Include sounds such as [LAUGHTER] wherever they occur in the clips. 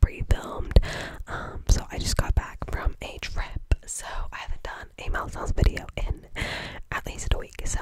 pre-filmed. Um, so I just got back from a trip, so I haven't done a milestones video in at least a week. So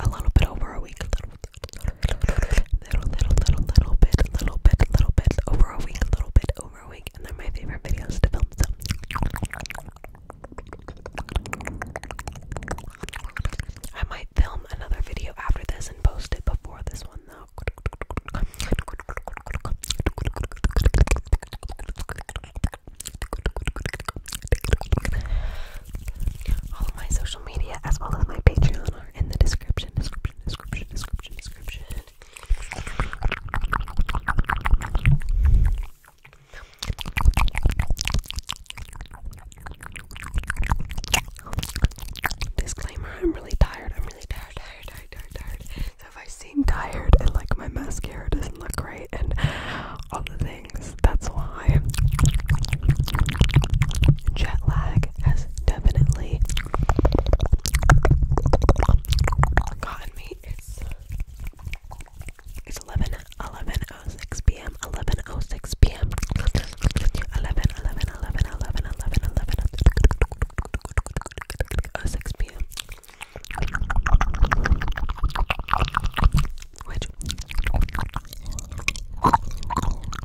a little bit over a week, little, little, little, little, little bit, little bit, little bit over a week, little bit over a week, and they're my favorite videos to film. So. I might film another video after this and post it before this one though. All of my social media as well as my Patreon are in the description, description, description, description, description. Disclaimer, I'm really tired really tired, tired, tired, tired, So if I seem tired and like my mascara doesn't look great and all the things, that's why jet lag has definitely gotten me. It's it's 11 06 p.m. 11 06 p.m. 11 uh, 6 p.m.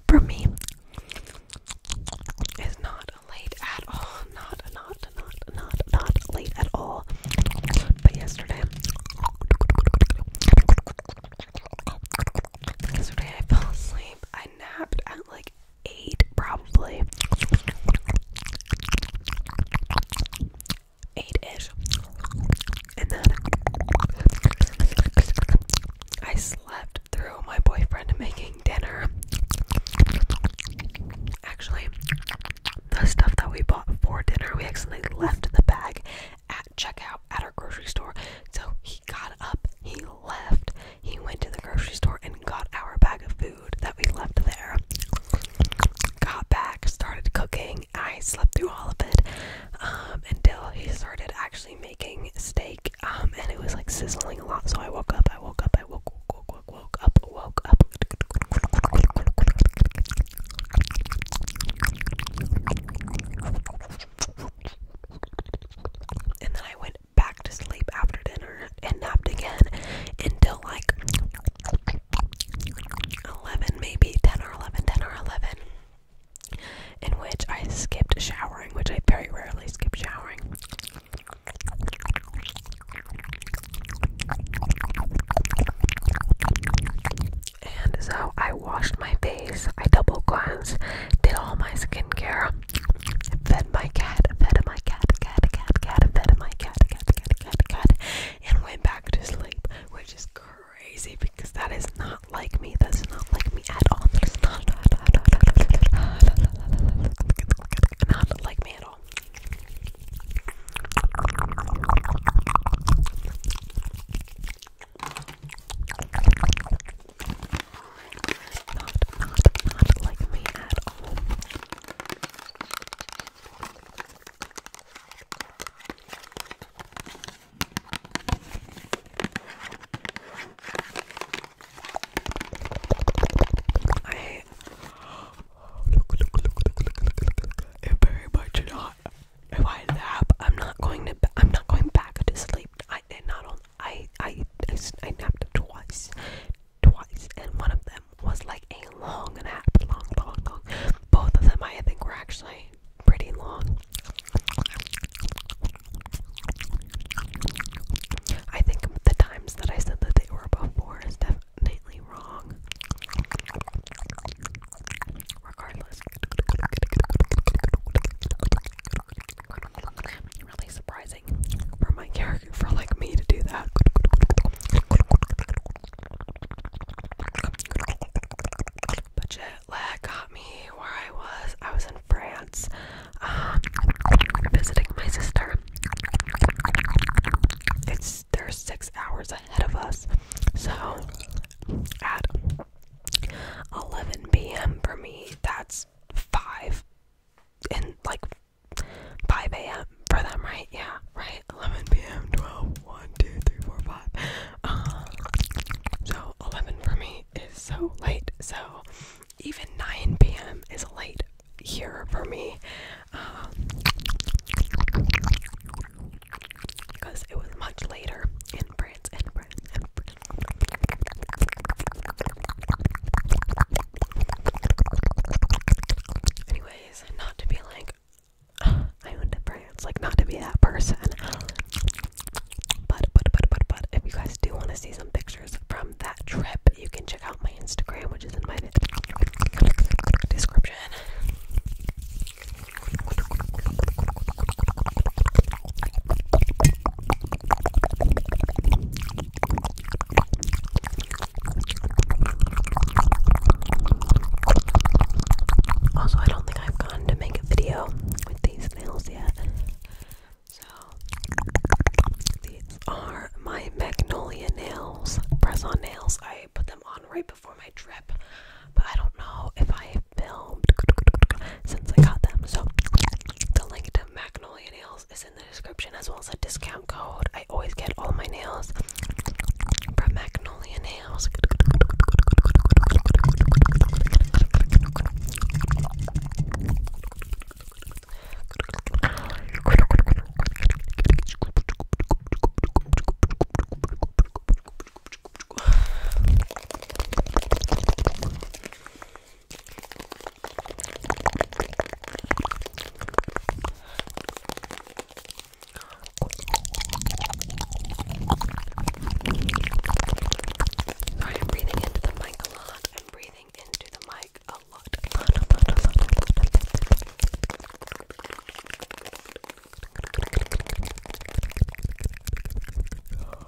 for me, is not late at all. Not, not, not, not, not late at all. But yesterday, yesterday I fell asleep. I napped at like eight probably. Eight ish. And then I slept through my boyfriend making dinner. Actually, the stuff that we bought for dinner, we actually left the bag at checkout at our grocery store. So he got up, he left, he went to the grocery store and got our bag of food that we left there. Got back, started cooking. I slept through all of it um, until he started actually making steak, um, and it was like sizzling a lot. So I woke up, I woke up, I woke, woke, woke, woke up, woke up. And then I went back to sleep after dinner and napped again until like 11, maybe 10 or 11, 10 or 11. In which I skipped showering, which I very rarely skip showering. And so I washed my face, I double cleansed, did all my skincare, Fed my cat, fed my cat, cat, cat, cat, fed my cat, cat, cat, cat, cat, and went back to sleep, which is crazy because that is not like me. That's not like me at all. That's not like me at all. Not, not, not like me at all. I look, very much not. If I nap, I'm not going to. I'm not going back to sleep. I not only I I I, I napped twice, twice, and one of them was like a long nap, long, long, long. Both of them I think were actually pretty long. I think the times that I said that they were before is definitely wrong. Regardless really surprising for my character, for like me to do that. Budget jet lag got me where I was. I was in France, um, visiting my sister. It's there's six hours ahead of us, so at 11 p.m. for me, that's 5 and like 5 a.m. for them, right? Yeah, right? 11 p.m., 12, 1, 2, 3, 4, 5. Um, so 11 for me is so late. So even 9 p.m. is late here for me. Um, because it was much later in France, in France, in France. Anyways, not to be like [SIGHS] I went to France, like not to be that person. But but but but but if you guys do want to see some pictures from that trip, you can check out my Instagram, which is in my description. Also, I don't think I've gone to make a video with these nails yet. So, these are my magnolia nails, press on nails. I put them on right before my trip but I don't know if I filmed since I got them. So the link to Magnolia Nails is in the description as well as a discount code. I always get all my nails from Magnolia Nails. Sorry, I'm breathing into the mic a lot. I'm breathing into the mic a lot. A lot, a lot, a lot, a lot.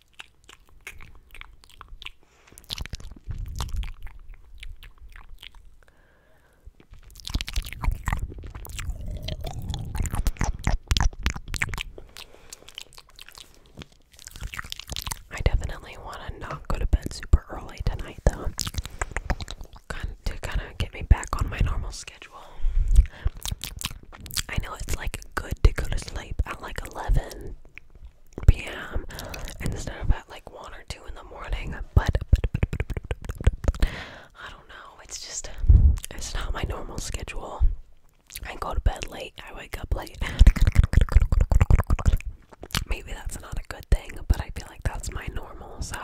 I definitely want to not go to bed super early tonight, though, to kind of get me back on my normal schedule. I know it's like good to go to sleep at like 11 p.m. instead of at like one or two in the morning. But, I don't know. It's just it's not my normal schedule. I go to bed late. I wake up late. Maybe that's not a good thing, but I feel like that's my normal. So.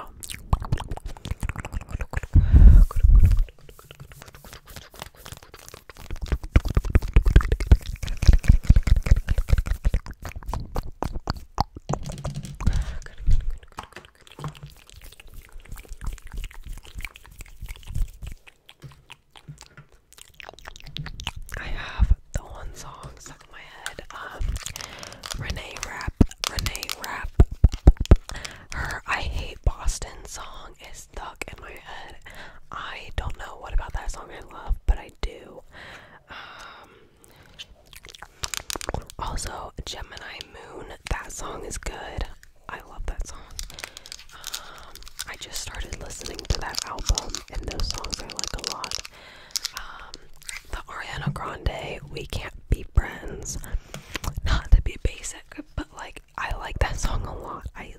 I have the one song stuck in my head. Um, Renee Rapp, Renee Rapp, her I Hate Boston song song is stuck in my head. I don't know what about that song I love, but I do. Um, also, Gemini Moon, that song is good. I love that song. Um, I just started listening to that album, and those songs I like a lot. Um, the Ariana Grande, We Can't Be Friends. Not to be basic, but like, I like that song a lot. I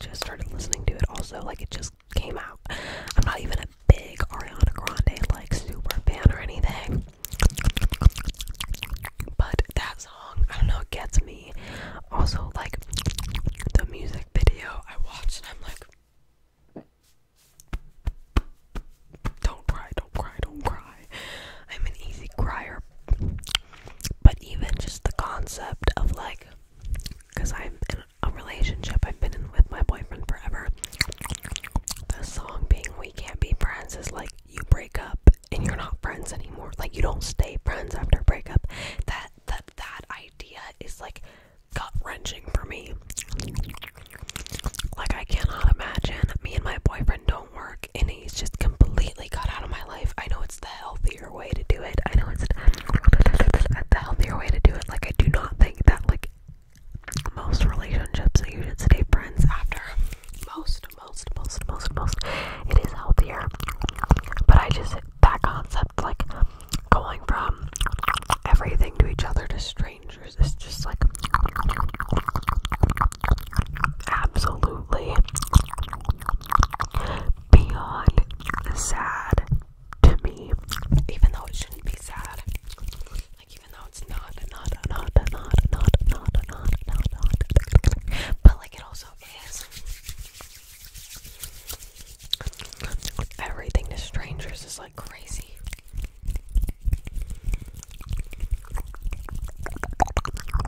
just started listening to it also like it just came out i'm not even a big ariana grande like super fan or anything but that song i don't know it gets me also like the music video i watched and i'm like don't cry don't cry don't cry i'm an easy crier but even just the concept of like because I'm in a relationship I've been in with my boyfriend forever. The song being We Can't Be Friends is like you break up and you're not friends anymore. Like you don't stay friends after breakup. That that that idea is like gut wrenching for me. Like I cannot imagine me and my boyfriend don't work and he's just completely cut out of my life. I know it's the healthy healthier way to do it. I know it's not the healthier way to do it. Like I do not think that like most relationships that you should stay friends after. Most, most, most, most, most. It is healthier. But I just that concept like going from everything to each other to strangers is just like absolutely beyond sad to me, even though it shouldn't be sad. Like even though it's not, not, not, not, not, not, not, not, not, not. but like it also is. Everything to strangers is like crazy.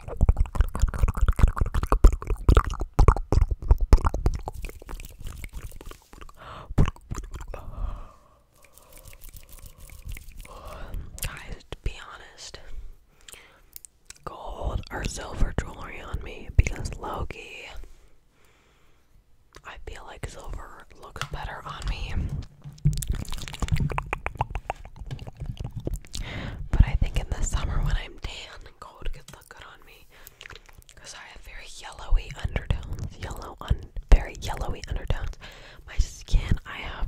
Guys, be honest, gold or silver jewelry on me because Loki. I feel like silver looks better on me. But I think in the summer when I'm tan and cold, it could good on me. Because I have very yellowy undertones. Yellow, un very yellowy undertones. My skin, I have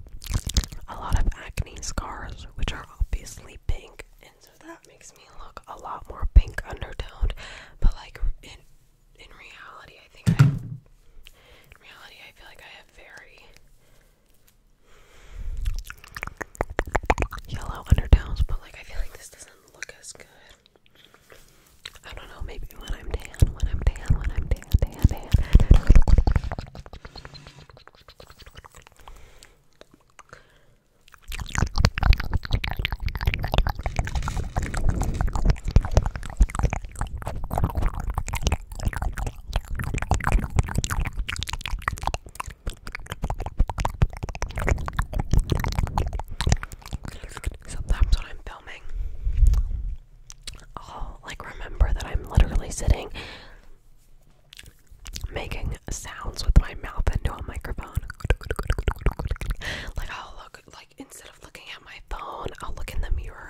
a lot of acne scars, which are obviously pink. And so that makes me look a lot more pink undertoned. But like in in reality, I think I, in reality I feel like I have very yellow undertones, but like I feel like this doesn't look as good. I don't know, maybe when I'm tan, when I'm tan, when I'm tan, tan, tan. Sometimes when I'm filming, I'll like remember that I'm literally sitting making sounds with my mouth into a microphone. Like I'll look like instead of looking at my phone, I'll look in the mirror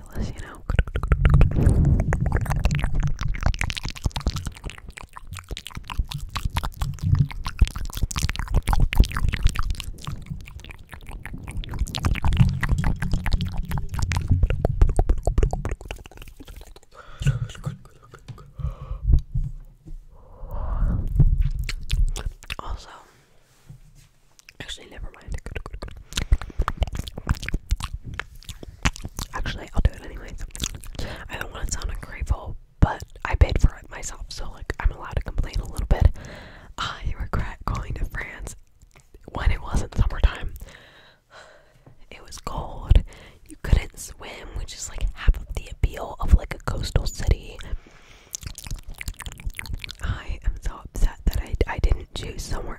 ridiculous, you know. Also, actually, never Actually, I'll do it anyways. I don't want to sound ungrateful, but I paid for it myself, so like I'm allowed to complain a little bit. I regret going to France when it wasn't summertime. It was cold. You couldn't swim, which is like half of the appeal of like a coastal city. I am so upset that I, I didn't choose somewhere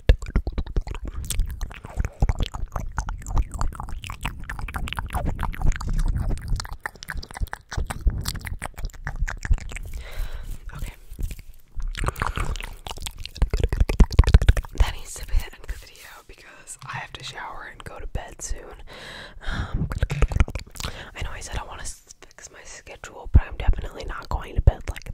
Okay. That needs to be the end of the video because I have to shower and go to bed soon. Um, I know I said I want to fix my schedule, but I'm definitely not going to bed like